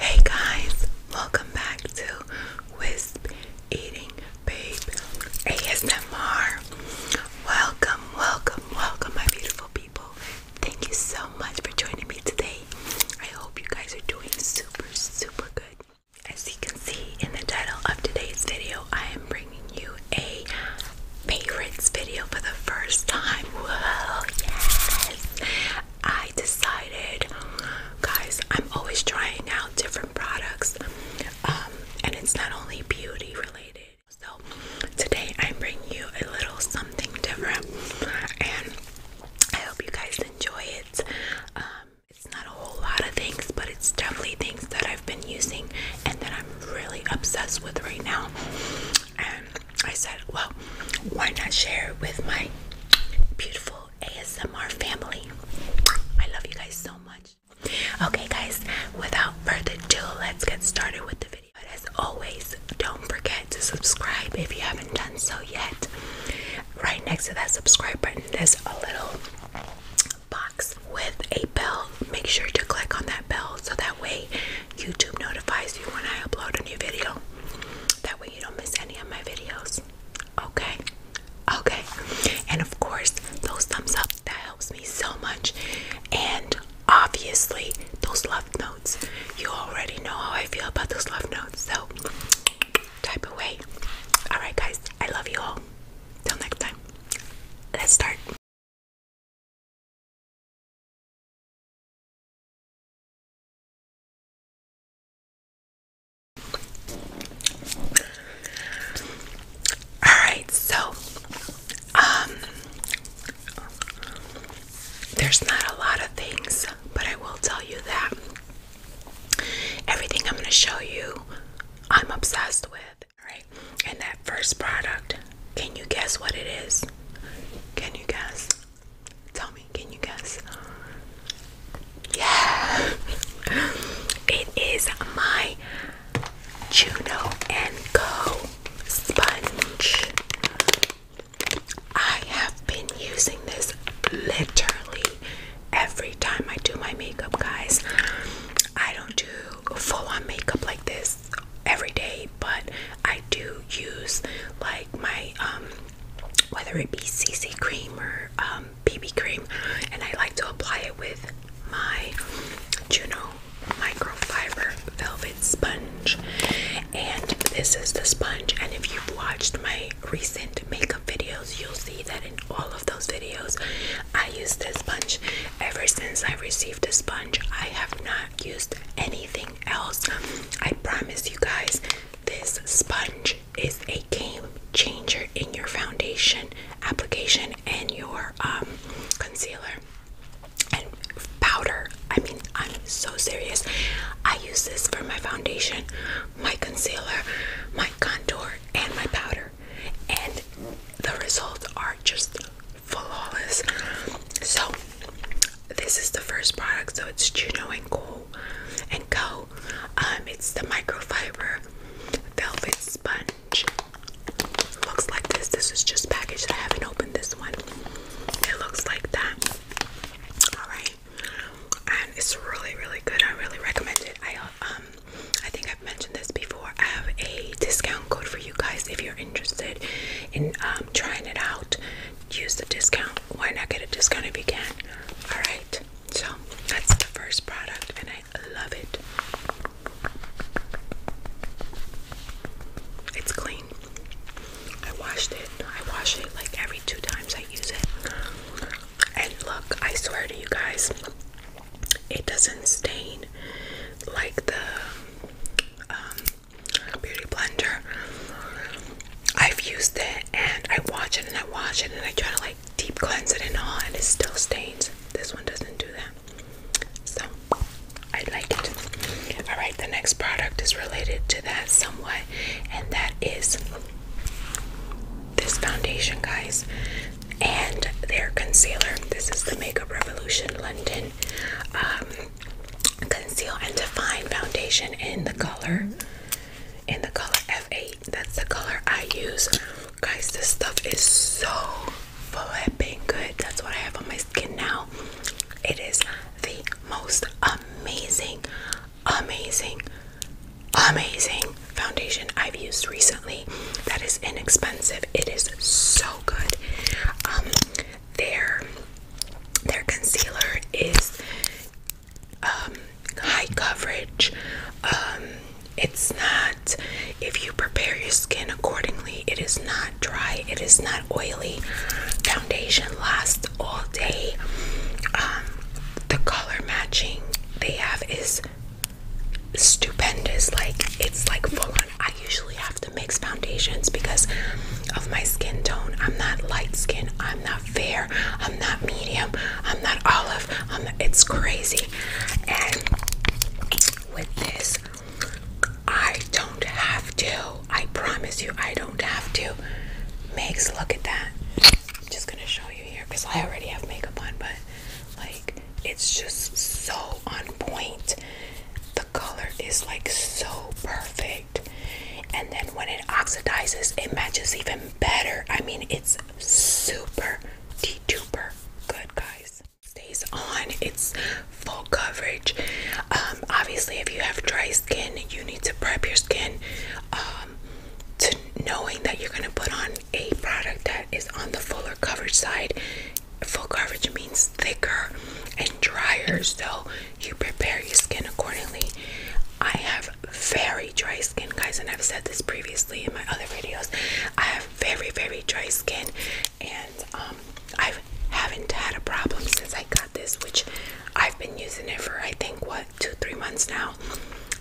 Hey guys, welcome back to Wisp Eating Babe ASMR. Welcome, welcome, welcome, my beautiful people. Thank you so much for joining me today. I hope you guys are doing super, super good. As you can see in the title of today's video, I am bringing you a favorites video for the first time. Whoa, yes! I decided, guys, I'm always trying out different products, um, and it's not only beauty related. So, today I bring you a little something different, and I hope you guys enjoy it. Um, it's not a whole lot of things, but it's definitely things that I've been using and that I'm really obsessed with right now. And I said, well, why not share it with my beautiful ASMR family? I love you guys so much. Okay, guys, without further ado, let's get started with the video. as always, don't forget to subscribe if you haven't done so yet. Right next to that subscribe button, there's a little box with a bell. Make sure to click on that bell so that way YouTube notifies you when I upload a new video. That way you don't miss any of my videos. Okay? Okay. And of course, those thumbs up, that helps me so much. And obviously, those love notes. You already know how I feel about those love notes. So, type away. Alright, guys, I love you all. Till next time, let's start. All right, so um there's not a lot of things, but I will tell you that everything I'm going to show you I'm obsessed with, Right? And that first product, can you guess what it is? Can you guess? Tell me, can you guess? Yeah, it is my Juno and Co. sponge. I have been using this literally every time I do my makeup, guys. I don't do full on makeup like this every day, but I do use like my um, whether it be CC cream or um BB cream and I like to apply it with my Juno microfiber velvet sponge and this is the sponge and if you've watched my recent makeup videos you'll see that in all of those videos I use this sponge ever since I received the sponge I have not used anything else I promise you guys this sponge is a game changer in your foundation application and your um, concealer and powder. I mean, I'm so serious. I use this for my foundation, my concealer, my contour, and my powder, and the results are just flawless. So, this is the first product, so it's Juno and Gold and go. Um, it's the microfiber velvet sponge. Looks like this. This is just packaged. I haven't opened this one. It looks like that. Alright. And it's really, really good. I really recommend it. I um I think I've mentioned this before. I have a discount code for you guys if you're interested in um I'm trying it out. Use the discount. Why not get a discount if you can? All right. So that's the first product, and I love it. It's clean. I washed it. I wash it like every two times I use it. And look, I swear to you guys, it doesn't stain like the um, beauty blender. I've used it and I wash it and I wash it and I try to like deep cleanse it and all and it still stains. This one doesn't do that. So I like it. Alright, the next product is related to that somewhat, and that is this foundation, guys, and their concealer. This is the Makeup Revolution London um, Conceal and Define foundation in the color, in the color F8. That's the color I use. Guys, this stuff is so flipping good. That's what I have on my skin now. It is the most amazing, amazing, amazing foundation I've used recently. That is inexpensive. It is so good. Um, their their concealer is um, high coverage. Um, it's not, if you prepare your skin accordingly, it is not dry, it is not oily. Foundation lasts all day. Um, the color matching they have is stupendous. Like, it's like full on. I usually have to mix foundations because of my skin tone. I'm not light skin. I'm not fair. I'm not medium. I'm not olive. it's crazy. And with this, I don't have to. I promise you, I don't have to. Megs, look at that. I'm just gonna show you here because I already have makeup on, but like it's just so on point. The color is like so perfect. And then when it oxidizes, it matches even better. I mean, it's super duper good, guys. Stays on, it's full coverage. Um, obviously, if you have dry skin, you need to prep your skin um, to knowing that you're going to put on a product that is on the fuller coverage side. Full coverage means thicker and drier, so you prepare your skin accordingly. I have very dry skin, guys, and I've said this previously in my other videos. I have very, very dry skin, and um, I haven't had a problem since I got this, which I've been using it for I think what two, three months now.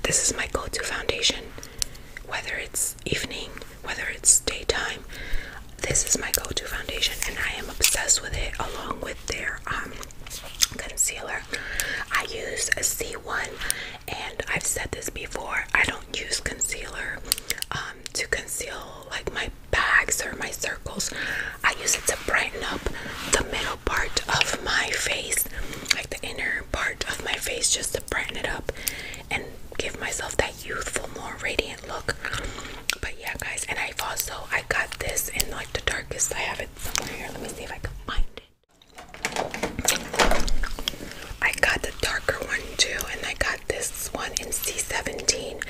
This is my go-to foundation, whether it's evening, whether it's daytime. This is my go-to foundation, and I am obsessed with it, along with their um concealer. I use a C1, and I've said this before. I don't use concealer um, to conceal like my bags or my circles. I use it to brighten up the middle part of my face, like the inner part of my face, just to brighten it up and give myself that youthful, more radiant look but yeah guys and i've also i got this in like the darkest i have it somewhere here let me see if i can find it i got the darker one too and i got this one in c17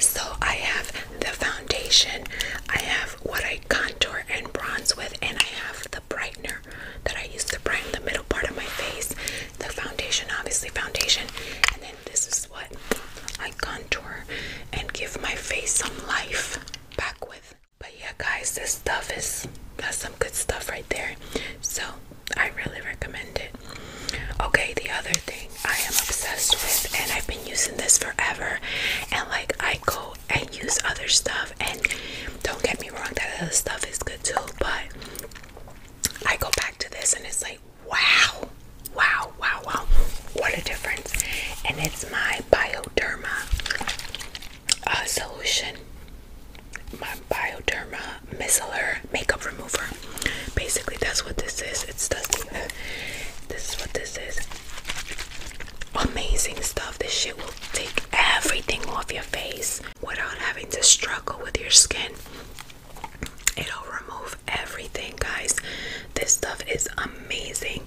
so i have the foundation i have what i contour and bronze with and i have the brightener that i use to brighten the middle part of my face the foundation obviously foundation and then this is what? I contour and give my face some life back with. But yeah, guys, this stuff is that's some good stuff right there. So I really recommend it. Okay, the other thing I am obsessed with, and I've been using this forever, and like I go and use other stuff, and don't get me wrong, that other stuff is good too, but I go back to this and it's like, wow, Wow, wow, wow. What a difference. And it's my Bioderma uh, solution. My Bioderma Micellar Makeup Remover. Basically, that's what this is. It's the, This is what this is. Amazing stuff. This shit will take everything off your face without having to struggle with your skin. It'll remove everything, guys. This stuff is amazing amazing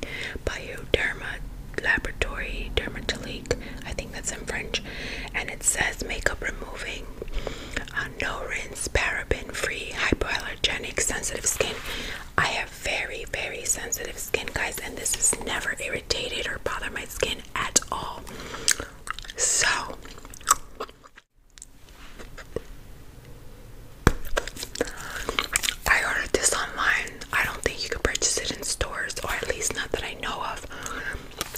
Bioderma Laboratory Dermatolique. I think that's in French. And it says makeup removing, uh, no rinse, paraben free, hypoallergenic, sensitive skin. I have very, very sensitive skin, guys, and this has never irritated or bothered my skin at all. So, I ordered this online. I don't think you can purchase it in stores, or at least not that I know of.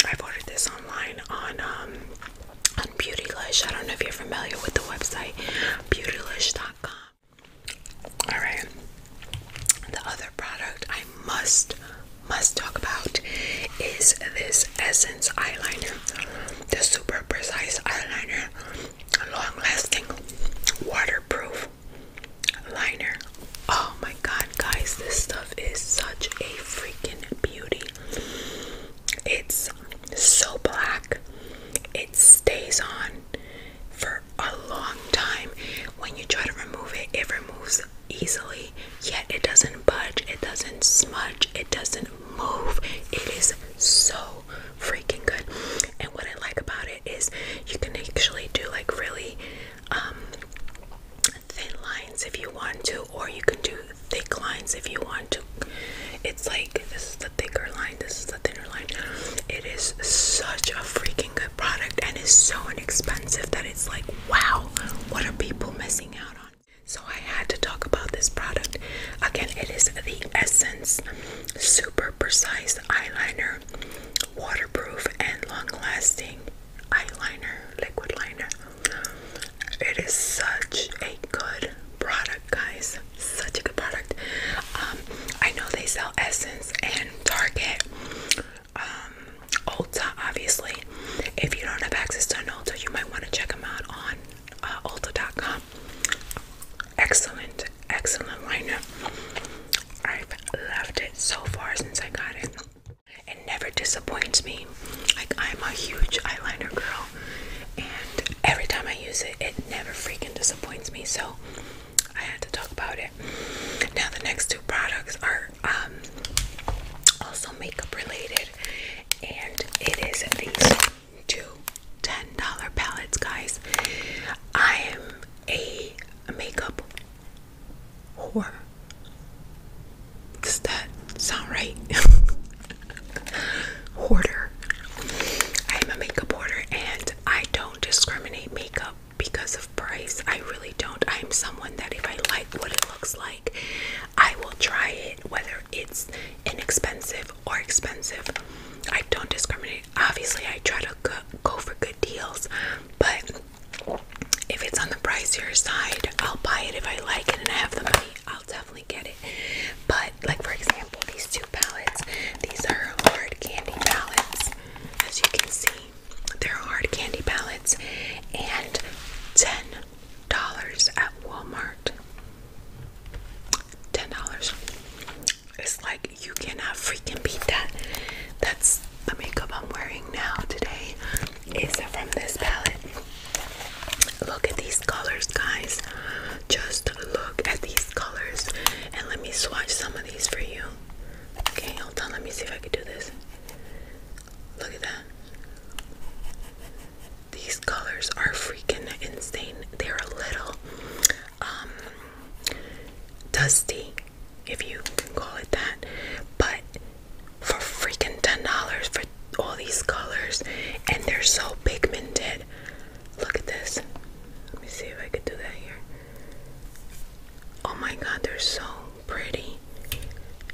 I've ordered this online on um on Beautylish. I don't know if you're familiar with the website beautylish.com. Alright. The other product I must must talk about is this Essence eyeliner. The super precise eyeliner long-lasting waterproof liner. Oh my god, guys, this stuff is such a freaking beauty. It's so black. It stays on for a long time. When you try to remove it, it removes easily, yet it doesn't budge, it doesn't smudge, it doesn't move. It is so freaking good. And what I like about it is you can actually do like really um, thin lines if you want to, or you can do thick lines if you want to. It's like this is the thicker line, this is the thinner line. It is such a freaking good product and is so inexpensive that it's like wow, what are people missing out on? So I had to talk about this product. Again, it is the Essence super precise eyeliner, waterproof and long-lasting eyeliner, liquid liner. It is such a good product, guys. Such a good product. Um, I know they sell Essence and Target, um, Ulta, obviously. If you don't have access to an Ulta, you might want to check them out on uh, Ulta.com excellent, excellent liner. I've loved it so far since I got it. It never disappoints me. Like, I'm a huge eyeliner girl, and every time I use it, it never freaking disappoints me. So, I had to talk about it. Now, the next two products are um, also makeup related, and it is these two $10 palettes, guys. I am a makeup whore. Does that sound right? hoarder. I am a makeup hoarder and I don't discriminate makeup because of price. I really don't. I am someone that if I like what it looks like, I will try it whether it's inexpensive or expensive. I don't discriminate. Obviously, I try to go for good deals, but if it's on the pricier side, I'll buy it if I like it and I have the money. I'll definitely get it. But like for example, these two palettes, these are hard candy palettes. As you can see, they're hard candy palettes and $10 at Walmart. $10. It's like you cannot freaking beat that. That's the makeup I'm wearing now today. Is from this palette. Look at these colors, guys. Just look at these colors. And let me swatch some of these for you. Okay, hold on. Let me see if I can do this. Look at that. These colors are freaking insane. They're a little um, dusty, if you can call it that. But for freaking ten dollars for all these colors, and they're so pigmented. Look at this. Let me see if I could do that here. Oh my god, they're so pretty.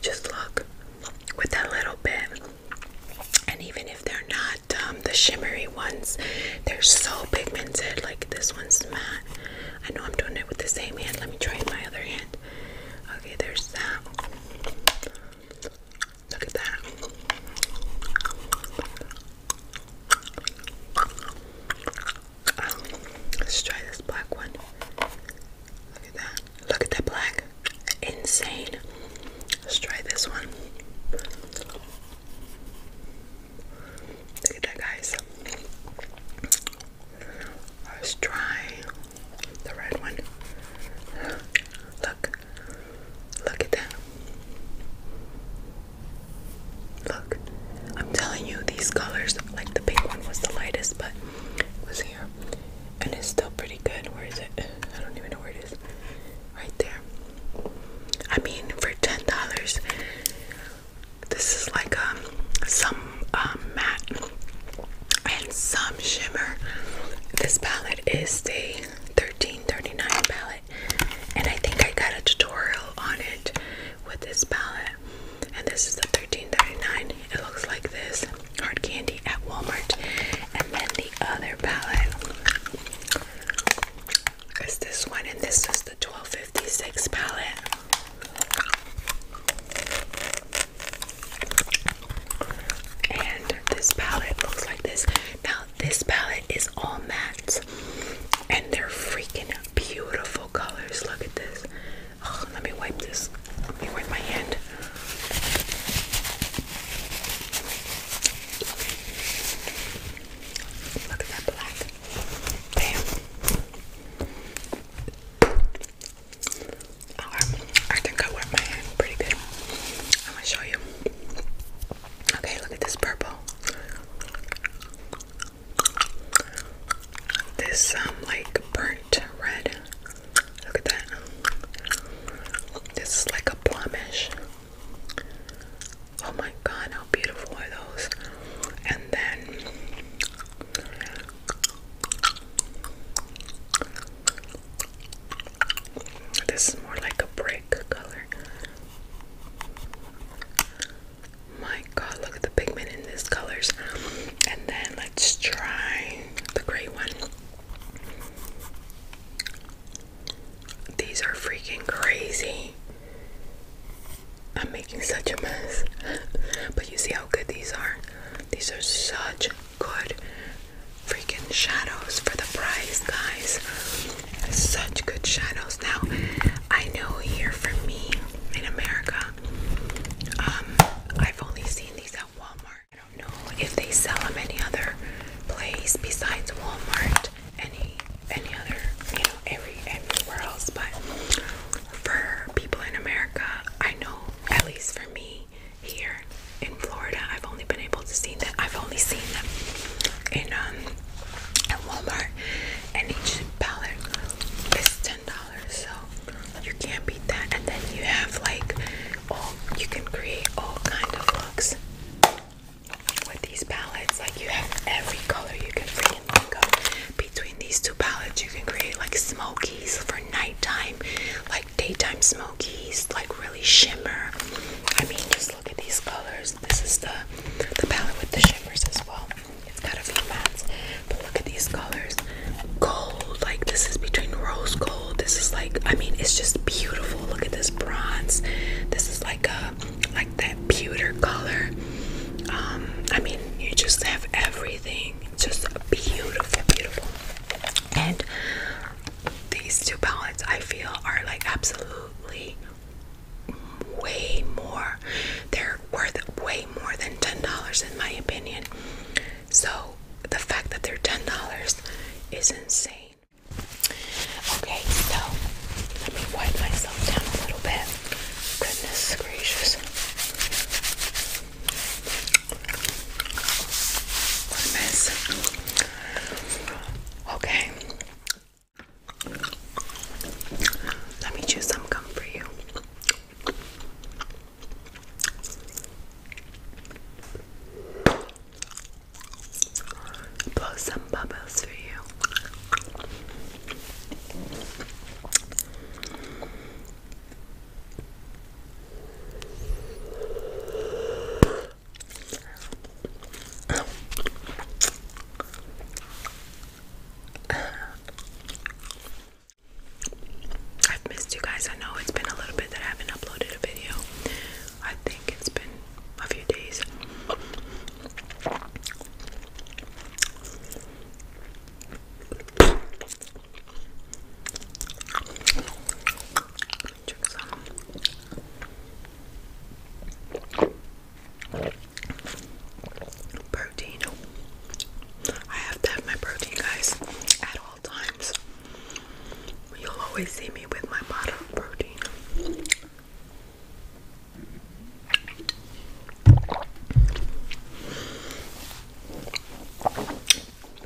Just look with that little bit and even if they're not um, the shimmery ones, they're so pigmented. Like this one's matte. I know I'm doing it with the same hand. Let me try my other hand. Okay, there's that. Look at that. Um, let's try this black one. Look at that. Look at that black. Insane. Let's try this one. Look at that, guys. Let's try the red one. Look. Look at that. Look. I'm telling you, these colors, like the pink one was the lightest, but it was here. And it's still pretty good. Where is it? I don't even know where it is right there. I mean, for ten dollars, this is like um, some um, matte and some shimmer. This palette is the thirteen thirty nine palette, and I think I got a tutorial on it with this palette. And this is the thirteen thirty nine. It looks like this hard candy at Walmart, and then the other palette is this one, and this is the 1256 palette. And this palette looks like this. Now, this palette is all mattes, and they're freaking beautiful colors. Look at this. Oh, let me wipe this. Let me wipe my hand. Look at that black. Damn. Right. I think I worked my hand pretty good. I'm gonna show you. Okay, look at this purple. This um like burnt red. Look at that. This is like a plumish. Oh my god, how beautiful are those! And then this is more like a brick color. My god, look at the pigment in these colors. And then let's try the gray one. These are freaking crazy. I'm making such a mess. but you see how good these are? These are such good freaking shadows for the price, guys. Such good shadows. Now, I know here from me in America, um, I've only seen these at Walmart. I don't know if they sell them any other place besides Walmart, any any other, you know, every everywhere else. But for people in America, I know at least for me here in Florida, I've only been able to see that. I've only seen them in um at Walmart, and each pallet is ten dollars. So you can't beat that. And then you have like all you can create all kind of looks with these palettes like you have every color you can freaking go between these two palettes you can create like smokies for nighttime like daytime smokies like really shimmer I mean just look at these colors this is the the palette with the shimmers as well it's got a few mattes but look at these colors gold like this is between rose gold this is like, I mean, it's just beautiful. Look at this bronze. This is like a like that pewter color. Um, I mean, you just have everything. Just beautiful, beautiful. And these two palettes I feel are like absolutely way more. They're worth way more than $10 in my opinion. So the fact that they're $10 is insane. Okay, so let me wipe myself down a little bit. Goodness gracious. What a mess. Okay. Let me choose some gum for you blow some bubbles for you. I've missed you guys. I know it's been a little bit that I haven't uploaded a video, I think it's been a few days. protein. I have to have my protein, guys, at all times. You'll always see me with my bottle of protein.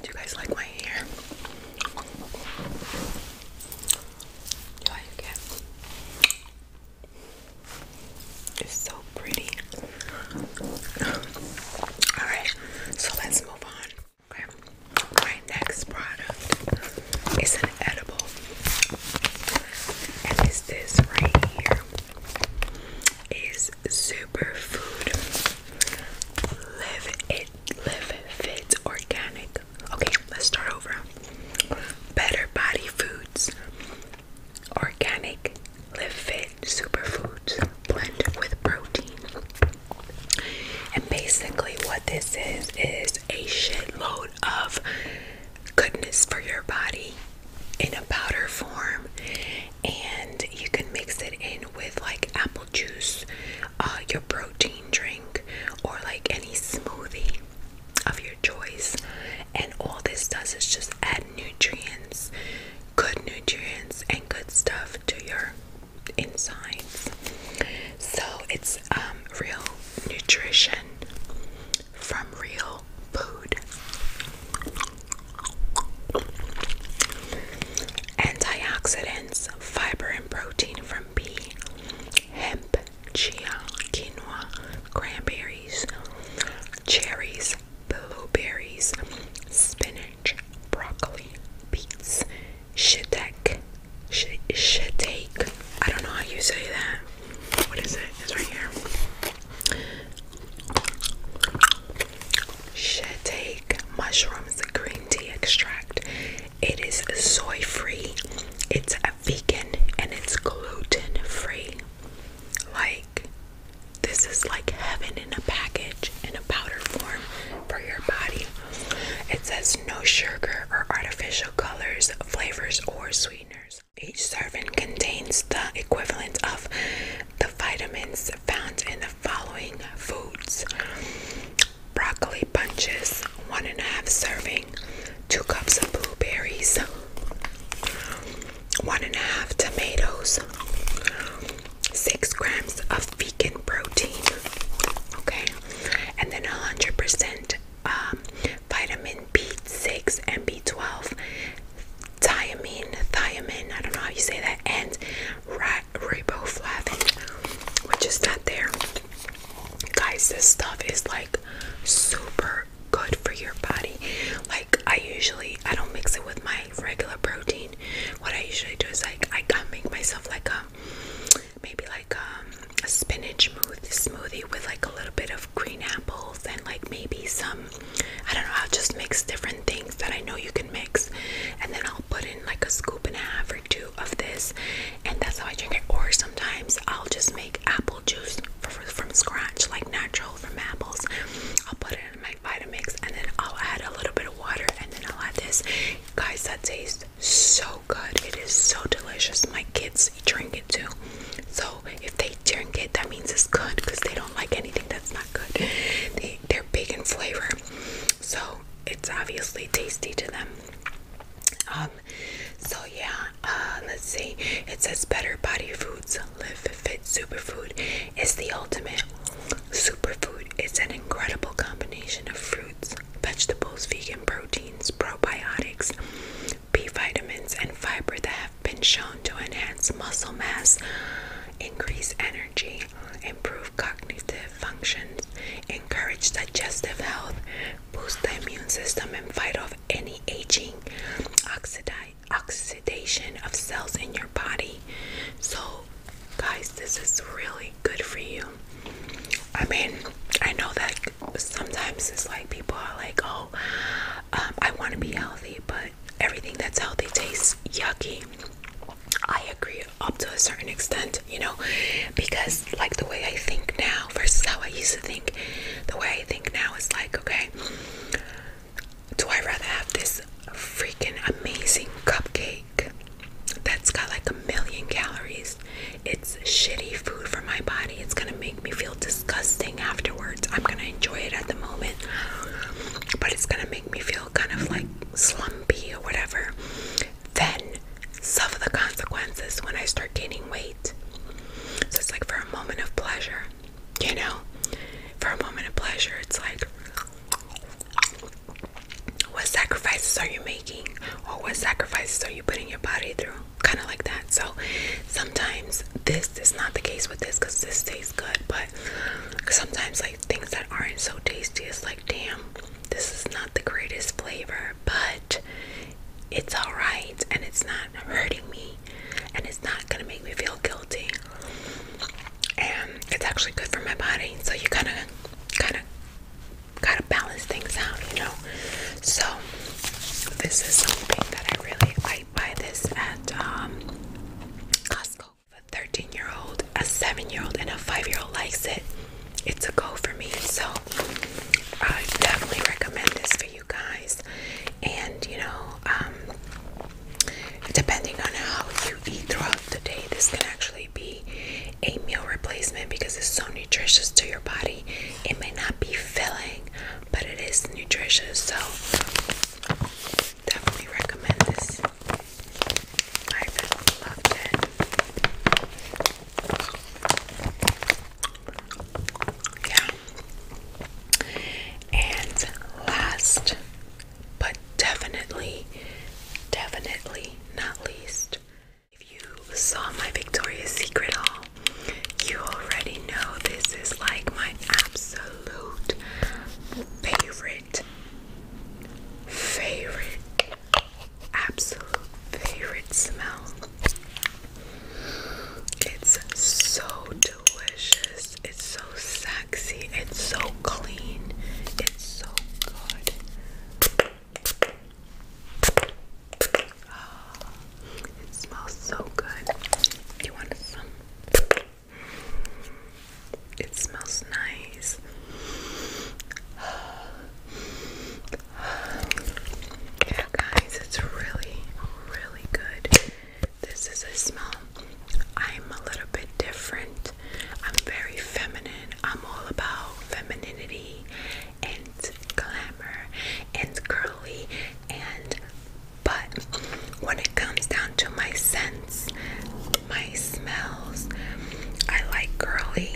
Do you guys like my hair? Do I like it? It's so pretty. Alright, so let's move on. Okay. My next product is an edible. And it's this right here. Is superfood live it live fit organic. Okay, let's start over. Better body foods. Organic live fit superfoods blend with protein. And basically, what this is is a shitload of goodness for your body in a powder form, and you can mix it in with like apple juice, uh, your protein drink, or like any smoothie of your choice. And all this does is just add nutrients, good nutrients, and good stuff to your insides. So it's um, real nutrition from real food. Antioxidants, fiber, and protein from pea, hemp, chia, quinoa, cranberries, cherries, blueberries, spinach, broccoli, beets, shiitake, Shateik. I don't know how you say that. What is it? It's right here. Shateik mushrooms green tea extract. It is soy free. It's vegan and it's gluten free. Like this is like heaven in a package in a powder form for your body. It says no sugar or artificial colors, flavors, or sweeteners. Each serving contains the equivalent of the vitamins found in the following foods broccoli bunches, one and a half serving, two cups of blueberries, one and a half tomatoes, six grams of protein, okay, and then 100% um, vitamin B6 and B12, thiamine, thiamine, I don't know how you say that, and riboflavin, which is not there. Guys, this stuff is like super good for your body. Like I usually, I don't mix it with my regular protein. What I usually do is like I can make myself like a maybe like um, a spinach smoothie with like a little bit of green apples and like maybe some, I don't know, I'll just mix different things that I know you can mix. And then I'll put in like a scoop and a half or two of this. And that's how I drink it. Or sometimes I'll just make apple juice from scratch, like natural from apples. I'll put it in my Vitamix and then I'll add a little bit of water and then I'll add this. Guys, that tastes so good. It is so delicious. My kids drink it too. So if they drink it, that means it's good because they don't like anything that's not good. They, they're big in flavor. So it's obviously tasty to them. Um, so yeah, uh, let's see. It says Better Body Foods Live Fit Superfood is the ultimate superfood. It's an incredible combination of fruits, vegetables, vegan proteins, probiotics, B vitamins, and fiber that have been shown to enhance muscle mass, increase energy, improve cognitive functions, encourage digestive health, boost the immune system, and fight off any aging, oxidation of cells in your body. So Guys, this is really good for you. I mean, I know that sometimes it's like people are like, oh, um, I want to be healthy, but everything that's healthy tastes yucky. I agree up to a certain extent, you know, because like the way I think now versus how I used to think, the way I think now is like, okay, do I rather have this freaking amazing cupcake that's got like a million calories. It's shitty food for my body. It's gonna make me feel disgusting afterwards. I'm gonna enjoy it at the moment, but it's gonna make me feel kind of like slumpy or whatever. Then suffer the consequences when I start gaining weight. So it's like for a moment of pleasure, you know? For a moment of pleasure, it's like what sacrifices are you making? Or what sacrifices are you putting your body through? Kind of like that. So sometimes this is not the case with this because this tastes good, but sometimes, like things that aren't so tasty, it's like, damn, this is not the greatest flavor, but it's all right and it's not hurting me and it's not gonna make me feel guilty and it's actually good for my body so you kind of kind of gotta balance things out, you know. So this is something that I really like. buy this at um, Costco. A 13 year old, a 7 year old, and a 5 year old likes it. It's a go for me. So I definitely recommend this for you guys. And you know, um, depending on how you eat throughout the day, this can actually be a meal replacement because it's so nutritious to your body. It may not be filling, but it is nutritious. So definitely recommend this. I really loved Yeah. And last but definitely, definitely not least. If you saw my Victoria's Secret haul, you already know this is like my absolute favorite, favorite, absolute favorite smell. It's so delicious, it's so sexy, it's so clean, it's so good. it smells so good. You want some? It smells nice. guys, it's really, really good. This is a smell. I'm a little bit different. I'm very feminine. I'm all about femininity and glamour and curly and but when it comes down to my scents, my smells, I like girly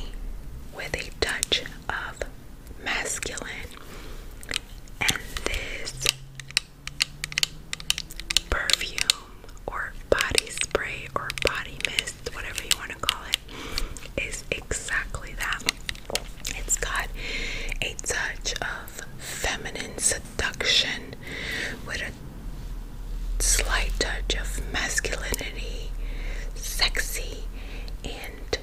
with a touch of masculine. And this perfume or body spray or body mist whatever you want to call it, is exactly that. It's got a touch of feminine seduction with a slight touch of masculinity, sexy, and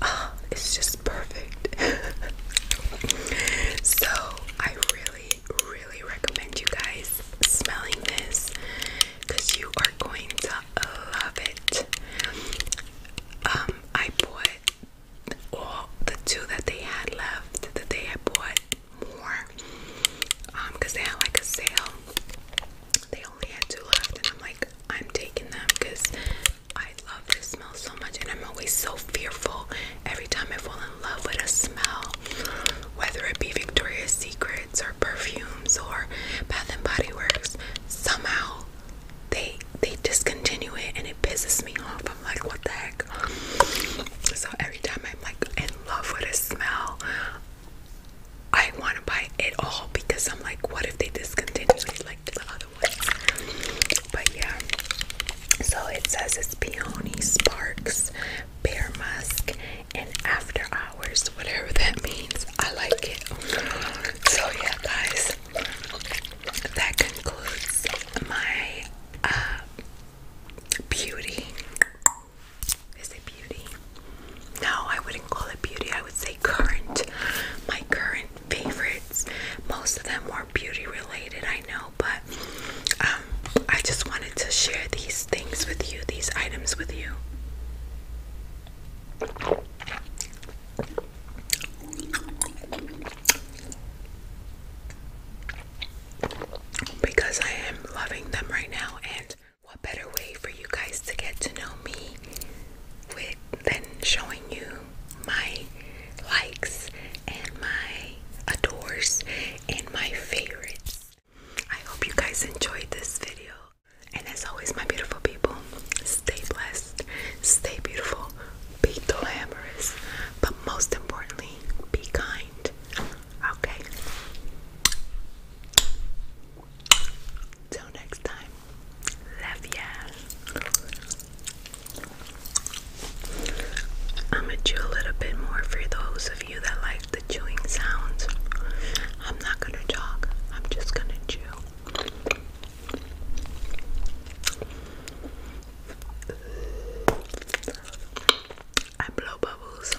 ah, it's just perfect. so, I really, really recommend you guys smelling this because you are going to love it. Um, I bought all the two that they had left the day I bought more because um, they had like a sale. They only had two left, and I'm like, I'm taking them because I love this smell so much, and I'm always so fearful every time I fall in love with a smell, whether it be Victoria's Secret or perfumes or Bath and Body Works, somehow they they discontinue it and it pisses me off. I'm like, what the heck? So every time I'm like in love with a smell, I want to buy it all because I'm like, what if they discontinue it like the other ones? But yeah. So it says it's peony sparks bear musk and after hours whatever that means i like it so yeah guys that concludes my uh beauty is it beauty no i wouldn't call it beauty i would say current my current favorites most of them were beauty related i know but um i just want wanted to share these things with you, these items with you. Because I am loving them right now, and what better way for you guys to get to know me than showing you my likes and my adores and my favorites? I hope you guys enjoyed this video. And as always, my beautiful people, stay blessed, stay beautiful, be glamorous, but most importantly, be kind. Okay? Till next time, love ya. I'm gonna do a little bit more for those of you that like the chewing sounds. I'm not gonna talk, I'm just gonna chew. I blow bubbles.